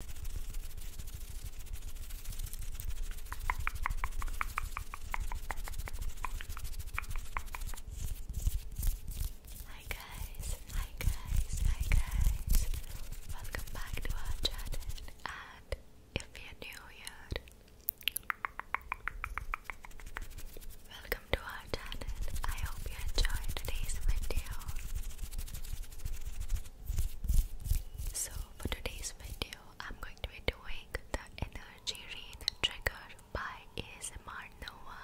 Hi guys, hi guys, hi guys. Welcome back to our channel and if you're new here, welcome to our channel. I hope you enjoyed today's video. So for today's video, I'm going to be doing the energy read trigger by ASMR Nova.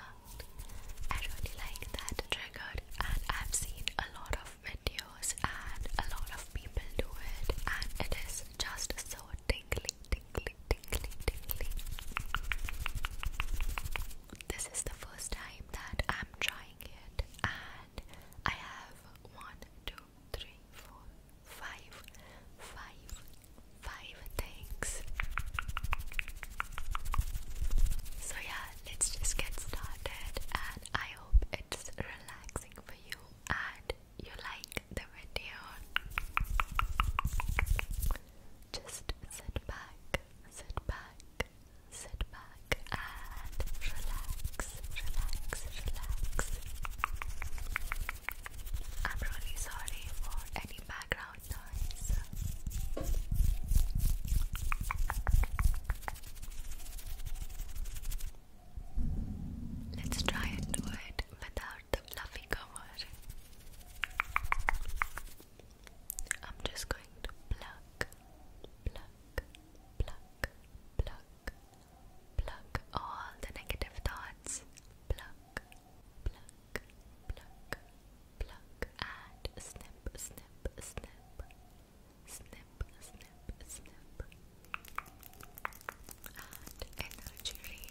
I really like that trigger and I've seen a lot of videos and a lot of people do it and it is just so tingly, tingly, tingly, tingly. This is the first time that I'm trying it and I have one, two, three, four, five, five, five things. So yeah, let's just get started and I hope it's relaxing for you and you like the video. Just sit back, sit back, sit back and relax, relax, relax. I'm really sorry for any background noise. Let's try and do it without the fluffy cover. I'm just going to pluck, pluck, pluck, pluck all the negative thoughts. Pluck, pluck, pluck, pluck, and snip, snip, snip, snip, snip, snip, and energy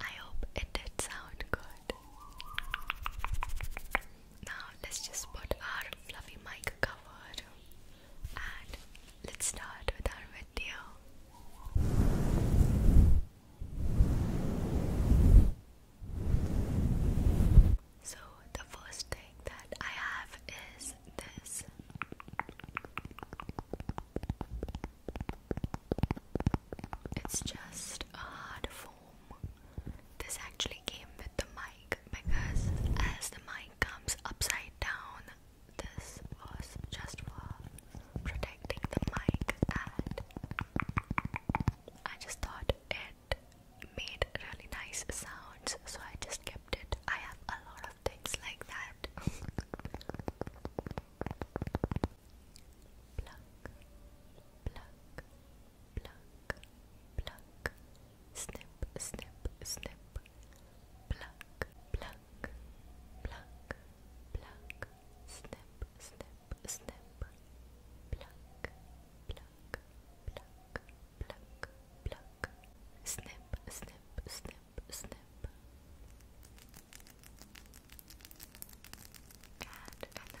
I hope it did sound good. Now let's just put our fluffy mic cover let's start with our video. So, the first thing that I have is this. It's just a hard foam. This actually came with the mic because as the mic comes upside down, this was just for protecting the mic, and I just thought it made really nice sounds, so I just kept it. I have a lot of things like that. snip pluck, pluck, pluck, pluck, snip, snip, snip, pluck, pluck, pluck, pluck, pluck, snip, snip, snip, snip. And hello,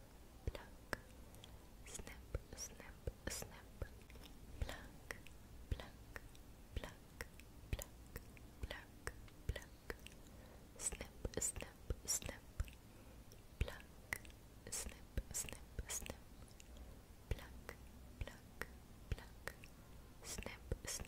pluck, snip, snip, snip, pluck, pluck, pluck, pluck, pluck, pluck, snip, snip, snip, pluck, snip, snip, snip, pluck, pluck, pluck, snip, snip, snip.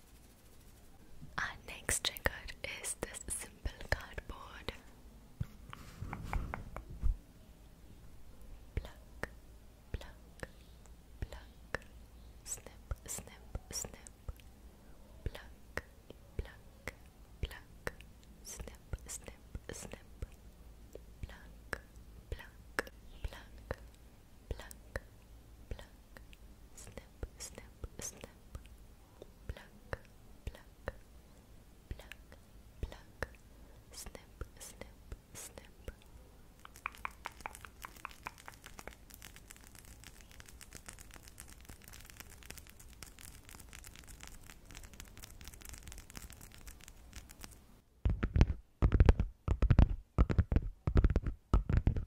Our next trigger is this simple cardboard. Pluck, pluck, pluck, snip, snip, snip. Pluck, pluck, pluck, snip, snip, snip. Pluck, pluck, pluck, pluck, pluck, snip, snip, snip, pluck, pluck, pluck, pluck, snip, snip, snip.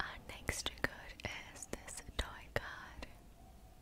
Our next is this toy car.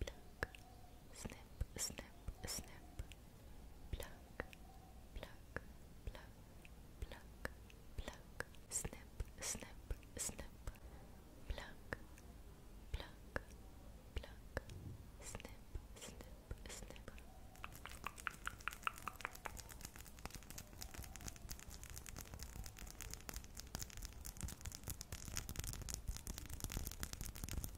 pluck, snip, snip, snip, pluck, pluck, pluck, pluck, pluck, snip, snip, snip, pluck, pluck, pluck, snip, snip, snip. Pluck,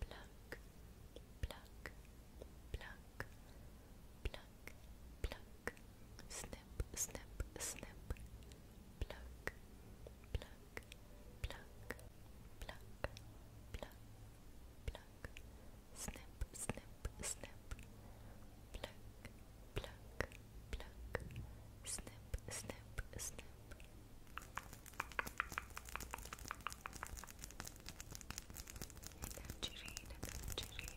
pluck, pluck, pluck, pluck, pluck, snip, snip, snip, pluck, pluck, pluck, pluck, pluck, pluck, snip, snip, snip, pluck, pluck, pluck, snip, snip, snip. Tangerine, tangerine. Thank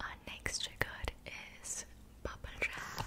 Our next record is bubble wrap.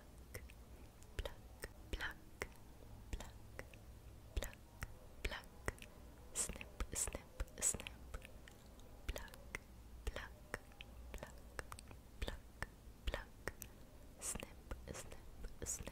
pluck, pluck, pluck, pluck, pluck, pluck, snip, snip, snip, pluck, pluck, pluck, pluck, pluck, snip, snip, snip.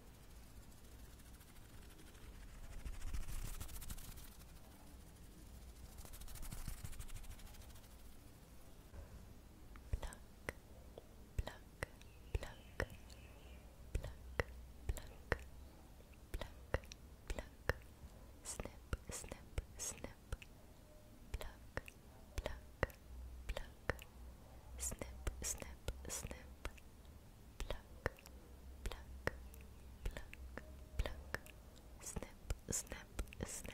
Pluck, pluck, pluck, pluck, pluck, pluck, pluck, snip, snip, snip, pluck, pluck, pluck, snip, snip, snip, pluck, pluck, pluck, pluck, snip, snip, snip.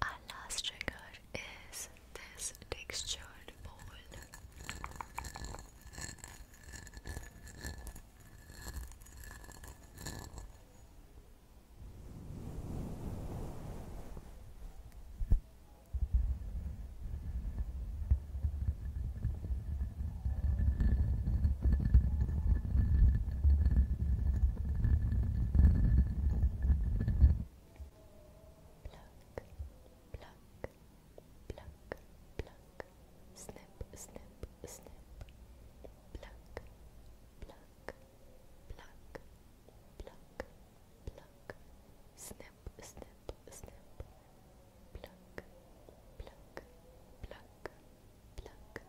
Our last trigger is this textured bowl pluck, pluck, pluck, pluck, snip, snip, snip, pluck, pluck, pluck, pluck, pluck, snip, snip, snip, pluck, pluck, pluck, pluck, snip, snip, snip. Pluck, pluck, pluck, pluck,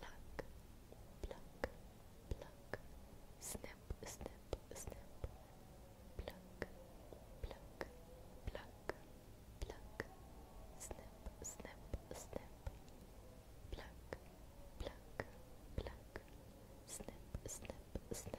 pluck, pluck, pluck, snip, snip, snip, pluck, pluck, pluck, pluck, snip, snip, snip, pluck, pluck, pluck, snip, snip, snip.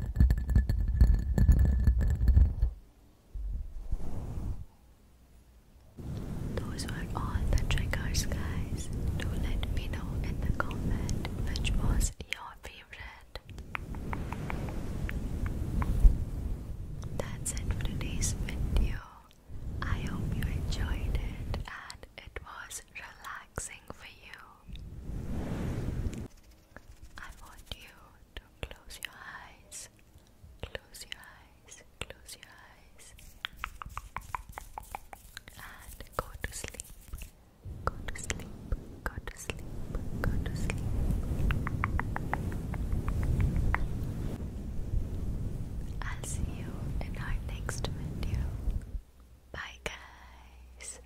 Those were all the triggers, guys. Do let me know in the comment which was your favorite. That's it for today's video. I hope you enjoyed it and it was relaxing for you. I want you to close your eyes, close your eyes, close your eyes, and go to sleep, go to sleep, go to sleep, go to sleep. I'll see you in our next video. Bye, guys.